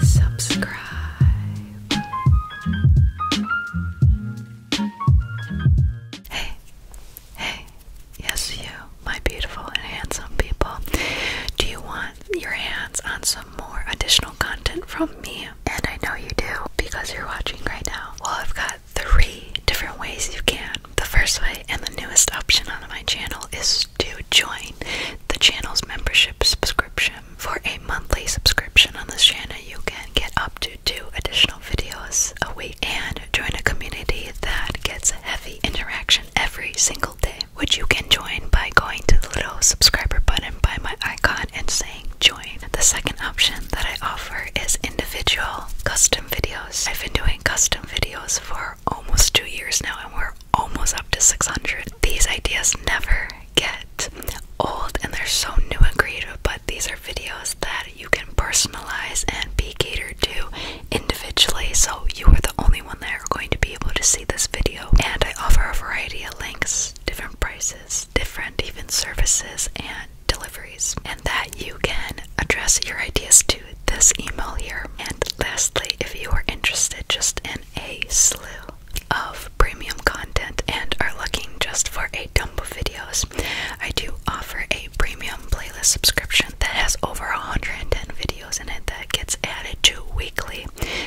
Subscribe. Hey, hey, yes, you, my beautiful and handsome people. Do you want your hands on some more additional content from me? And I know you do because you're watching right now. Well, I've got three different ways you can. The first way and the newest option on my channel is to join the channel's membership subscription. For a monthly subscription on this channel, you can get up to two additional videos a week and join a community that gets heavy interaction every single day, which you can join by going to the little subscriber button by my icon and saying join. The second option that I offer is individual custom videos. I've been doing custom videos for almost two years now, and we're almost up to 600. These ideas never get old and they're so new and creative, but these are videos that you can personalize and be catered to individually. So you are the only one that are going to be able to see this video. And I offer a variety of links, different prices, different even services, and delivery and that you can address your ideas to this email here. And lastly, if you are interested just in a slew of premium content and are looking just for a dump of videos, I do offer a premium playlist subscription that has over 110 videos in it that gets added to weekly.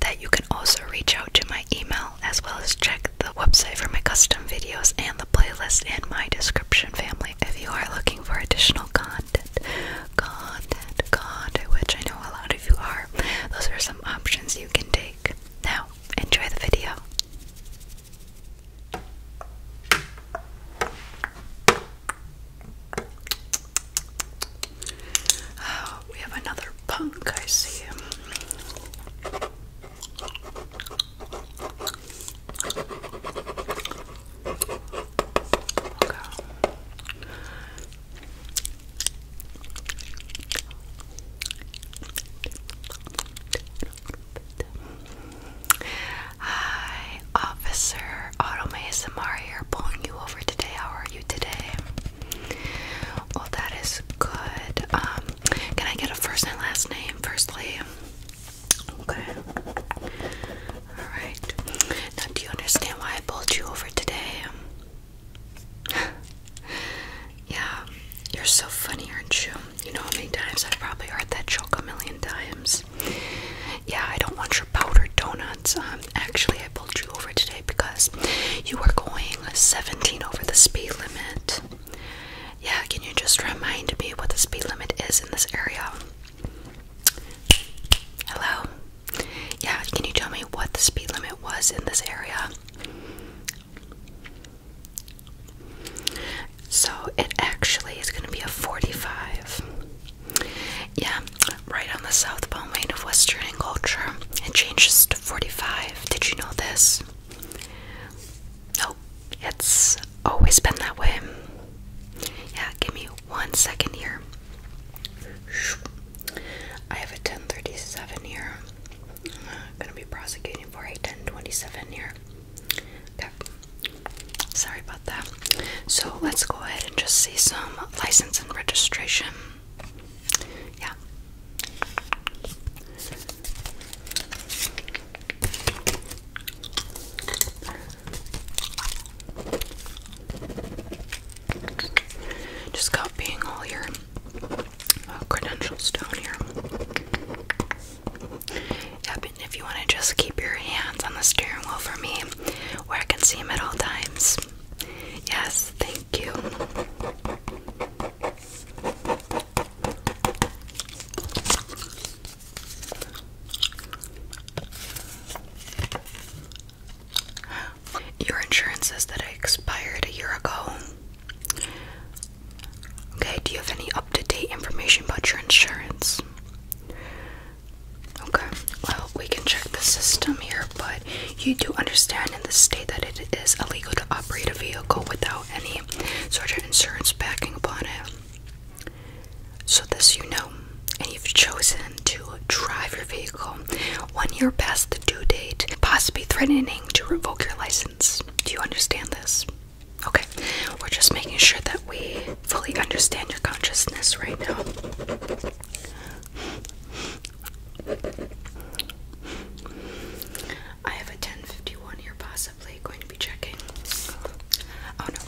That you can also reach out to my email as well as check the website for my custom videos and the playlist in my description, family. If you are looking for additional content, content, content, which I know a lot of you are, those are some options you can take. Now, enjoy the video. Oh, we have another punk, I see. Okay. Hi, Officer Automation Mario pulling you over today. How are you today? Well, that is good. Um, can I get a first and last name, firstly? Okay. Alright. Now, do you understand why I pulled you over today? yeah, you're so funny, aren't you? You know how many times I've probably heard that joke a million times. Yeah, I don't want your powdered donuts. Um, actually, I pulled you over today because you were going 17 over the speed limit. Yeah, can you just remind me what the speed limit is in this area? Hello? Yeah, can you tell me what the speed limit was in this area? So it actually is going to be a 45. Yeah, right on the southbound lane of Western and Culture. It changes to 45. Did you know this? it's always been that way. Yeah, give me one second here. I have a 1037 here. I'm gonna be prosecuting for a 1027 here. Okay. Sorry about that. So let's go ahead and just see some license and registration. Yeah. Just copying all your uh, credentials down here. Yeah, if you want to just keep your hands on the steering wheel for me, where I can see them at all times. Yes, thank you. Your insurance says that it expired a year ago. Okay, do you have any up to date information about your insurance? Okay, well, we can check the system here, but you do understand in this state that it is illegal to operate a vehicle without any sort of insurance backing upon it. So, this you know, and you've chosen to drive your vehicle one year past the due date, possibly threatening to revoke your license. Do you understand this? Okay, we're just making sure that we fully understand your consciousness right now. I have a 1051 here, boss possibly going to be checking. Oh no,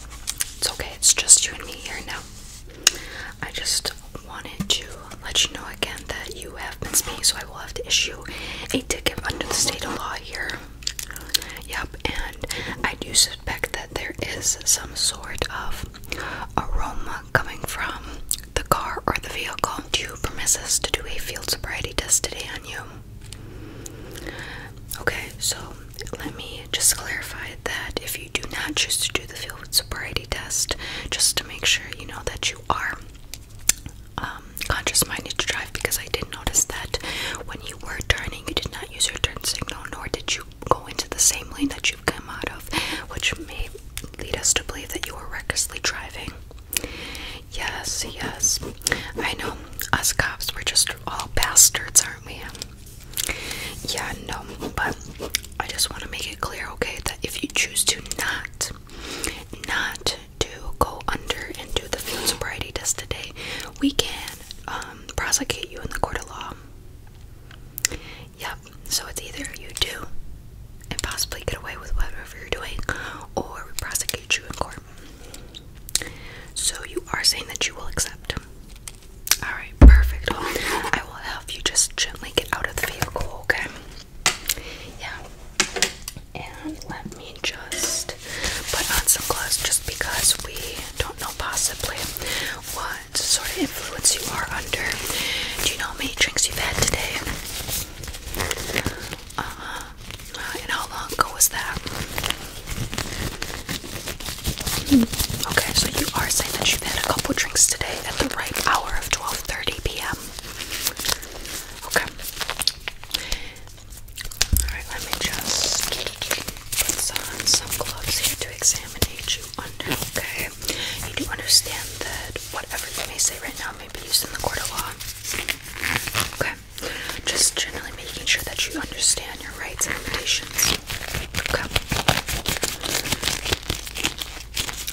it's okay, it's just you and me here now. I just wanted to let you know again that you have been speaking, so I will have to issue a ticket under the state of law here. Yep, and I do suspect that there is some sort of aroma coming from the car or the vehicle. Do you promise us to do a field sobriety test today on you? Okay, so let me just clarify that if you do not choose to do the field sobriety test, just to make sure you know that you are um, conscious minded to drive, because I did notice that when you were turning, you did not use your turn signal, nor did you go into the same lane that you've come out of, which may lead us to believe that you were recklessly driving. Yes, yes. I know us cops, we're just all bastards, aren't we? Yeah, no, but I just want to make it clear, okay, that if you choose to not, not to go under and do the field sobriety test today, we can um, prosecute you in the court of law. Yep, so it's either you do and possibly get away with whatever you're doing, or we prosecute you in court. So you are saying that you will accept. Alright, perfect. I will help you just gently get out of the vehicle, okay? Yeah. And let me just put on some gloves just because we don't know possibly what sort of influence you are under. Do you know how many drinks you've had today? Uh-huh. And how long ago was that? Okay, so you are saying that you've had a couple drinks today at the right hour of 12:30 p.m. Okay. Alright, let me just put on some gloves here to examine you under, okay? You do understand that whatever you may say right now may be used in the court of law. Okay. Just generally making sure that you understand your rights and limitations. Okay.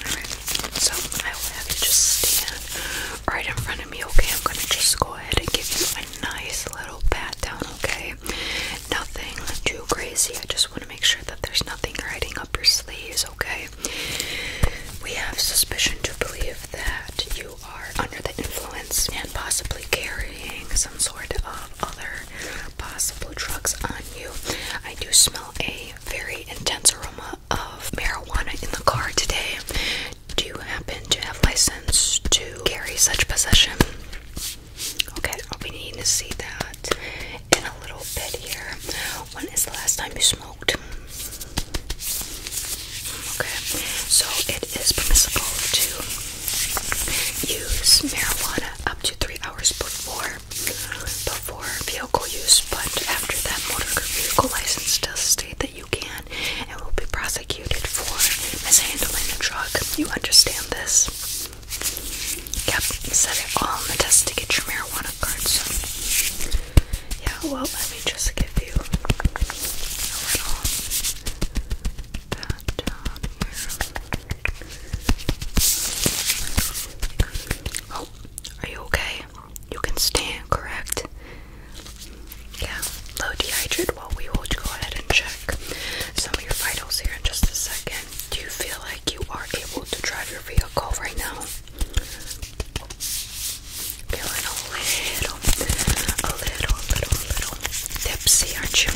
Alright, so I will have you just stand right in front of me, okay? I'm gonna just go ahead and give you a nice little pat down, okay? Nothing too crazy. I just want to make sure that there's nothing riding up your sleeves, okay? We have suspicion to believe that you are under the influence and possibly carrying some sort of other possible drugs on you. I do smell a very intense aroma of marijuana in the car today. Do you happen to have license to carry such possession? Okay, I'll be needing to see that in a little bit here. When is the last time you smelled? Okay, so it is permissible to use marijuana up to three hours before before vehicle use, but after that, motor vehicle license does state that you can and will be prosecuted for mishandling a drug. You understand this? Yep, set it all on the test to get your marijuana card. Yeah, well, let me just give you a little Oh, are you okay? You can stand, correct? Yeah, low dehydrated. Well, we will go ahead and check some of your vitals here in just a second. Do you feel like you are able to drive your vehicle right now? Feeling a little, a little, little, little tipsy, aren't you?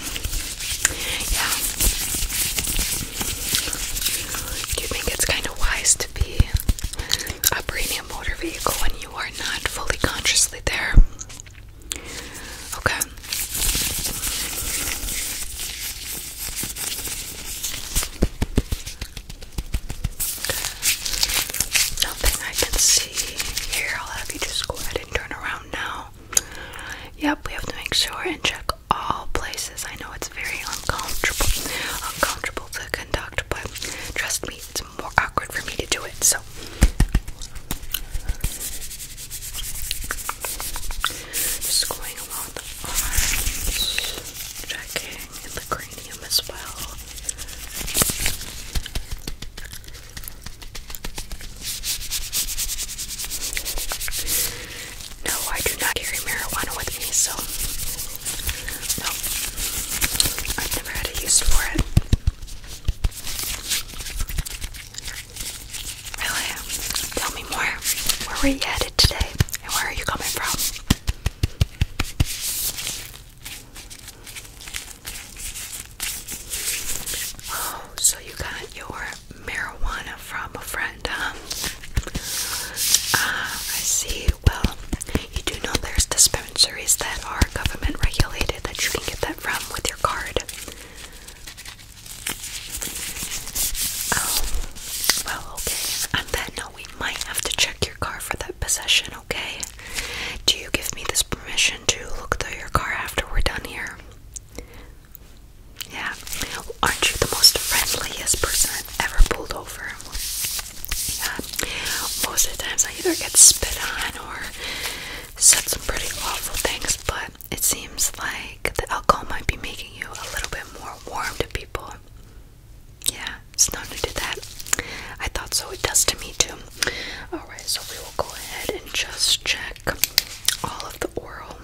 Yeah. you think it's kind of wise to be operating a motor vehicle when you are not fully consciously there? Okay. Nothing I can see. Here, I'll have you just go ahead and turn around now. Yep, we have to make sure and check all places. I know it's very uncomfortable, uncomfortable to conduct, but trust me, it's more awkward for me to do it. So, just going along the arms, checking in the green no, I do not carry marijuana with me, so no, I've never had a use for it. Really? Tell me more. Where were you headed today, and where are you coming from? Oh, so you got your marijuana from a friend, huh? Ah, I see. Well, you do know there's dispensaries that are government regulated that you can get that from with your card. Oh, well, okay. On that note, we might have to check your car for that possession, okay? Do you give me this permission to look through your car after we're done here? Yeah. Aren't you the most friendliest person I've ever pulled over? Yeah. Most of the times I either get spit on or said some pretty awful things, but it seems like the alcohol might be making you a little bit more warm to people. Yeah, it's not new to that. I thought so, it does to me too. Alright, so we will go ahead and just check all of the oral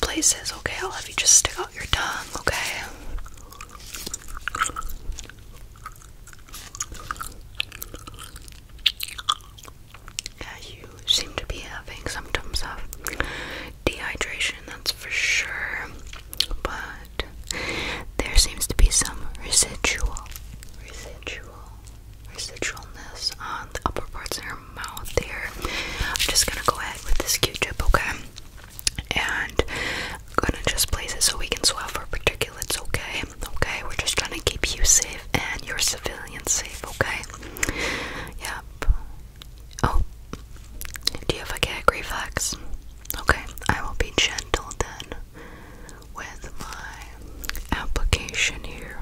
places, okay? I'll have you just stick out your tongue, okay? Yeah, you seem to be having symptoms of dehydration, that's for sure. But there seems to be some residual, residual, residualness on the upper parts of her mouth here. I'm just gonna go ahead with this Q-tip, okay? And I'm gonna just place it so we can swell for particulates, okay? Okay, we're just trying to keep you safe and your civilians safe, okay? Yep. Oh, do you have a gag reflex? Okay, I will be gentle then with my application here.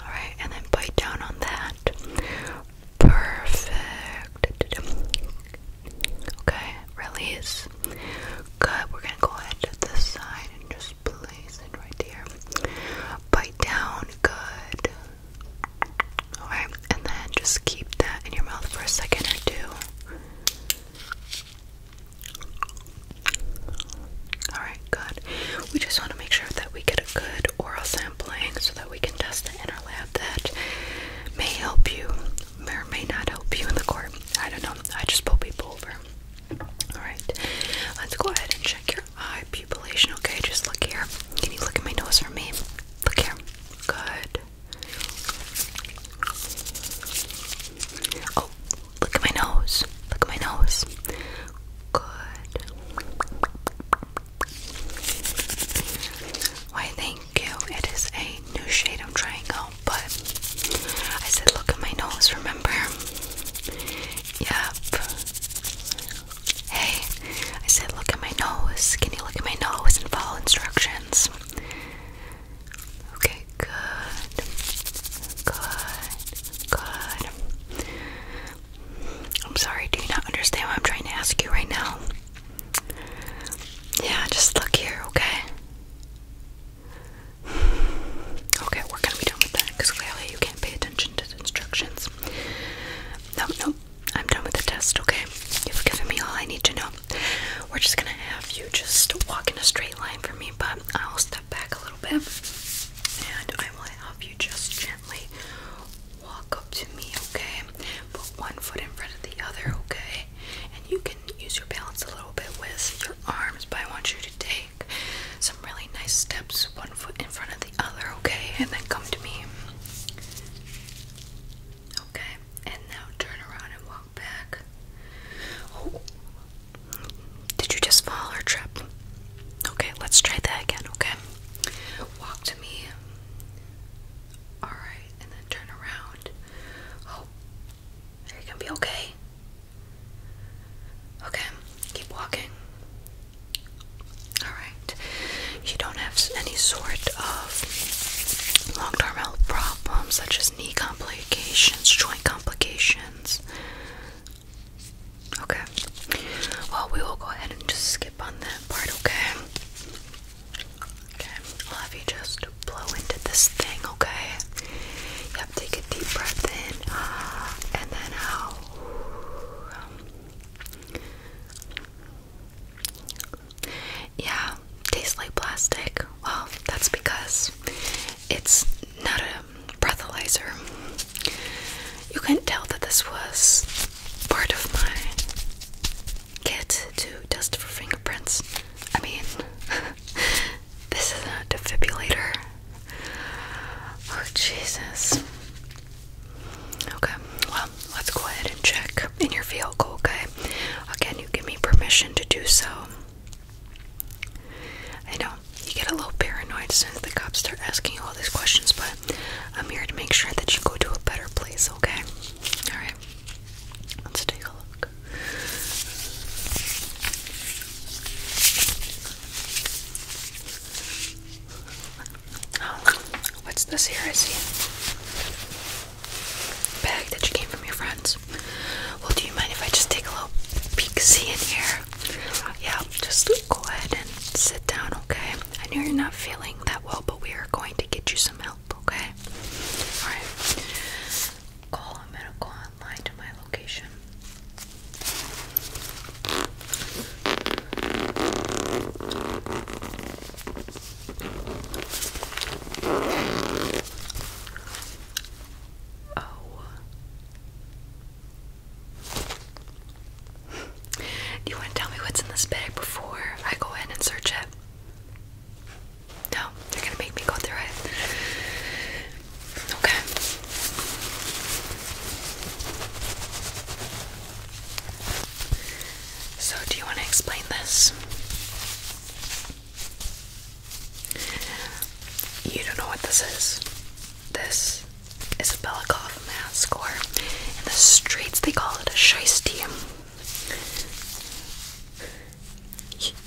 Alright, and then bite down on that. Perfect. Okay, release. Good, we're gonna go ahead to this side and just place it right there. Bite down, good. Alright, and then just keep that in your mouth for a second or two. Alright, good. We just want to make sure that we get a good oral sampling so that we can test it in our lab that may help you or may not help you in the court. I don't know. I just pull people over. Alright, let's go ahead and check your eye pupillation, okay? Just look here. Can you look at my nose for me? Look here. Good. Oh, look at my nose. Look at my nose. Good. Why, thank you. It is a new shade of triangle, but I said, look at my nose, remember? Yep. Hey, I said, look at my nose. Can you look at my nose and follow instructions? Okay, good. Good. Good. I'm sorry, do you not understand what I'm trying to ask you right now? Yeah, just look here, okay? Okay, we're gonna be done with that because clearly you can't pay attention to the instructions. No, no, I'm done with the test, okay? You've given me all I need to know. We're just gonna have you just walk in a straight line for me, but I'll step back a little bit and I will help you just gently walk up to me, okay? Put one foot in front of the other, okay? And you can use your balance a little bit with your arms, but I want you to take some really nice steps, one foot in front of the the other, okay? And then come to me. Okay, and now turn around and walk back. Oh. Did you just fall or trip? Okay, let's try that again, okay? Walk to me. Alright, and then turn around. Oh, there you can be okay. Okay, keep walking. Alright, you don't have any sort of long term health problems such as knee complications, joint complications. Okay, well, we will go ahead and just skip on that part, okay? Okay, I'll have you just blow into this thing, okay? Yep, take a deep breath in uh, and then out. Yeah, tastes like plastic. Well, that's because it's not a breathalyzer. You can tell that this was part of my kit to test for fingerprints. I mean, this is a defibrillator. Oh, Jesus. Okay, well, let's go ahead and check in your vehicle, okay? Again, you give me permission to do so. I know you get a little paranoid since the cops start asking all these questions, but I'm here to make sure that you go to a better place, okay? Alright, let's take a look. Oh, what's this here? I see bag that you came from your friends. Well, do you mind if I just take a little peek see in here? Yeah, just go ahead and sit down, okay? I know you're not feeling that well, but we are going to get you some help, okay? Alright. Call a medical online to my location. Oh. Do you want to tell me what's in this bag before I go in and search it? No, you're gonna make me go through it. Okay. So, do you want to explain this? You don't know what this is. This is a Belakov mask, or in the streets they call it a shiesty.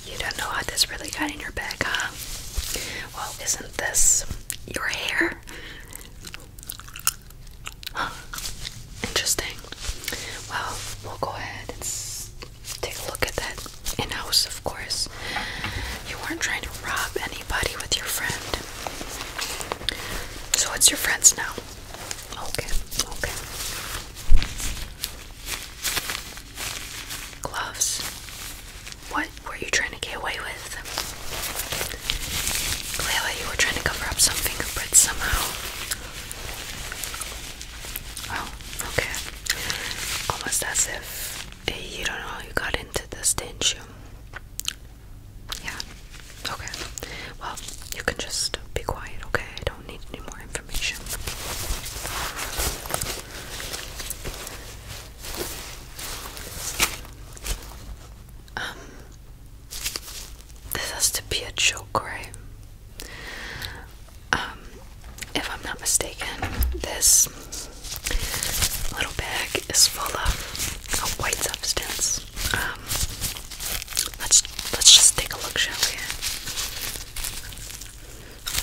You don't know what this really got in your bag, huh? Well, isn't this your hair? Interesting. Well, we'll go ahead and take a look at that in house, of course. You weren't trying to rob anybody with your friend. So it's your friends now. Okay, okay. Gloves. What were you trying to get away with? Clearly, you were trying to cover up some fingerprints somehow. Oh, okay. Almost as if eh, you don't know how you got into this, did Yeah. Okay. Well, you can just be quiet, okay? I don't need any more information. Um, this has to be a joke, right? Um, if I'm not mistaken, this little bag is full of a white substance. Um, let's let's just take a look, shall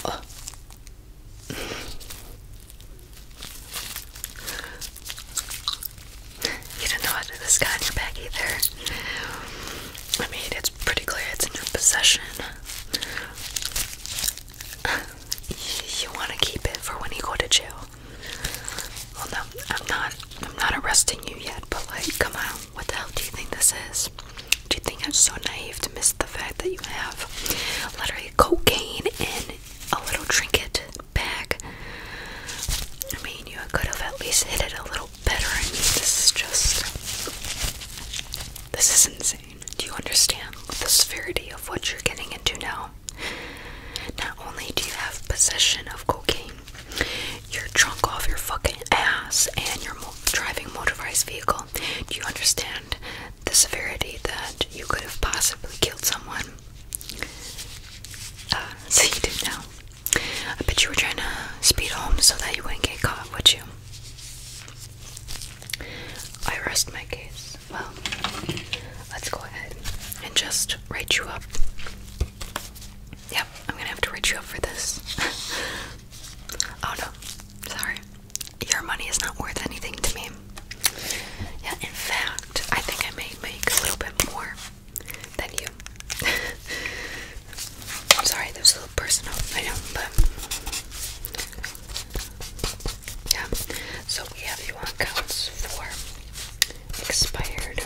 we? Oh. You don't know how to do this guy in your bag either. I mean, it's pretty clear it's a new possession. You want to keep it for when you go to jail. Well, no, I'm not. I'm not arresting you yet. But like, come on, what the hell do you think this is? Do you think I'm so naive to miss the fact that you have literally cocaine in a little trinket bag. I mean, you could have at least hit it a little better. I mean, this is just. This is insane. Do you understand the severity of what you're getting into now? Not only do you have possession of cocaine, you're drunk off your fucking ass, and you're mo driving motorized vehicle. Do you understand the severity that you could have possibly killed someone? Um, so you do now. I bet you were trying to speed home so that you wouldn't get caught, would you? I rest my case. Well, let's go ahead and just write you up. Yep, I'm gonna have to write you up for this. oh no, sorry. Your money is not worth anything to me. Yeah, in fact, I think I may make a little bit more than you. sorry, that was a little personal, I know, but yeah. So we have you on counts for expired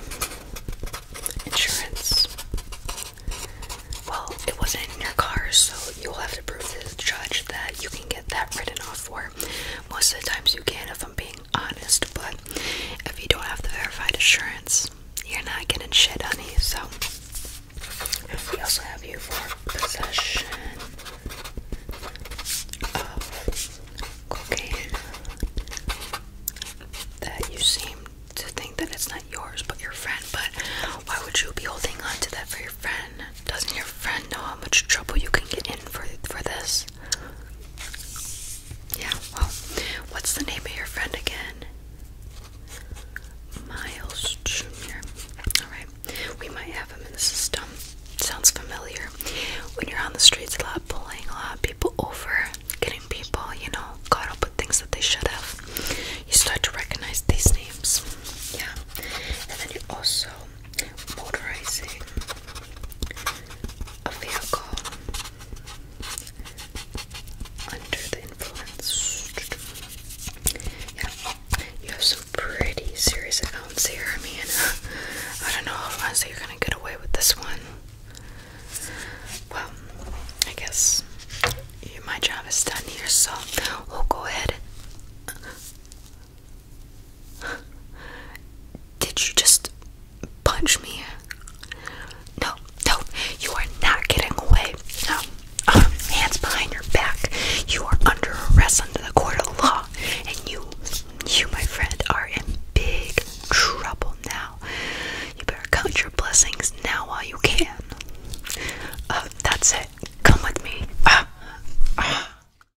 insurance. Well, it wasn't in your car, so you'll have to prove to the judge that you can get that written off for. Most of the times you can, if I'm being honest, but if you don't have the verified assurance, you're not getting shit, honey. So, we also have you for possession of cocaine that you seem to think that it's not yours but your friend. But why would you be holding on to that for your friend? Doesn't your friend know how much trouble you can get in for for this? Yeah, well, what's the name of your friend again? Miles Jr. Alright, we might have him in the system. Sounds familiar. When you're on the streets a lot, pulling a lot of people over, getting people, you know, caught up with things that they should have, you start to recognize these names. Yeah. And then you also motorizing a vehicle under the influence. Yeah, you have some pretty serious accounts here. I mean, I don't know how honestly you're gonna get away with this one. Well, I guess my job is done here, so we'll go ahead. Did you just punch me? No, no, you are not getting away. No. Um, hands behind your back. You are under arrest under the court of law. And you, you, my friend, are in big trouble now. You better count your blessings now while you can. Uh, that's it. Come with me. Ah.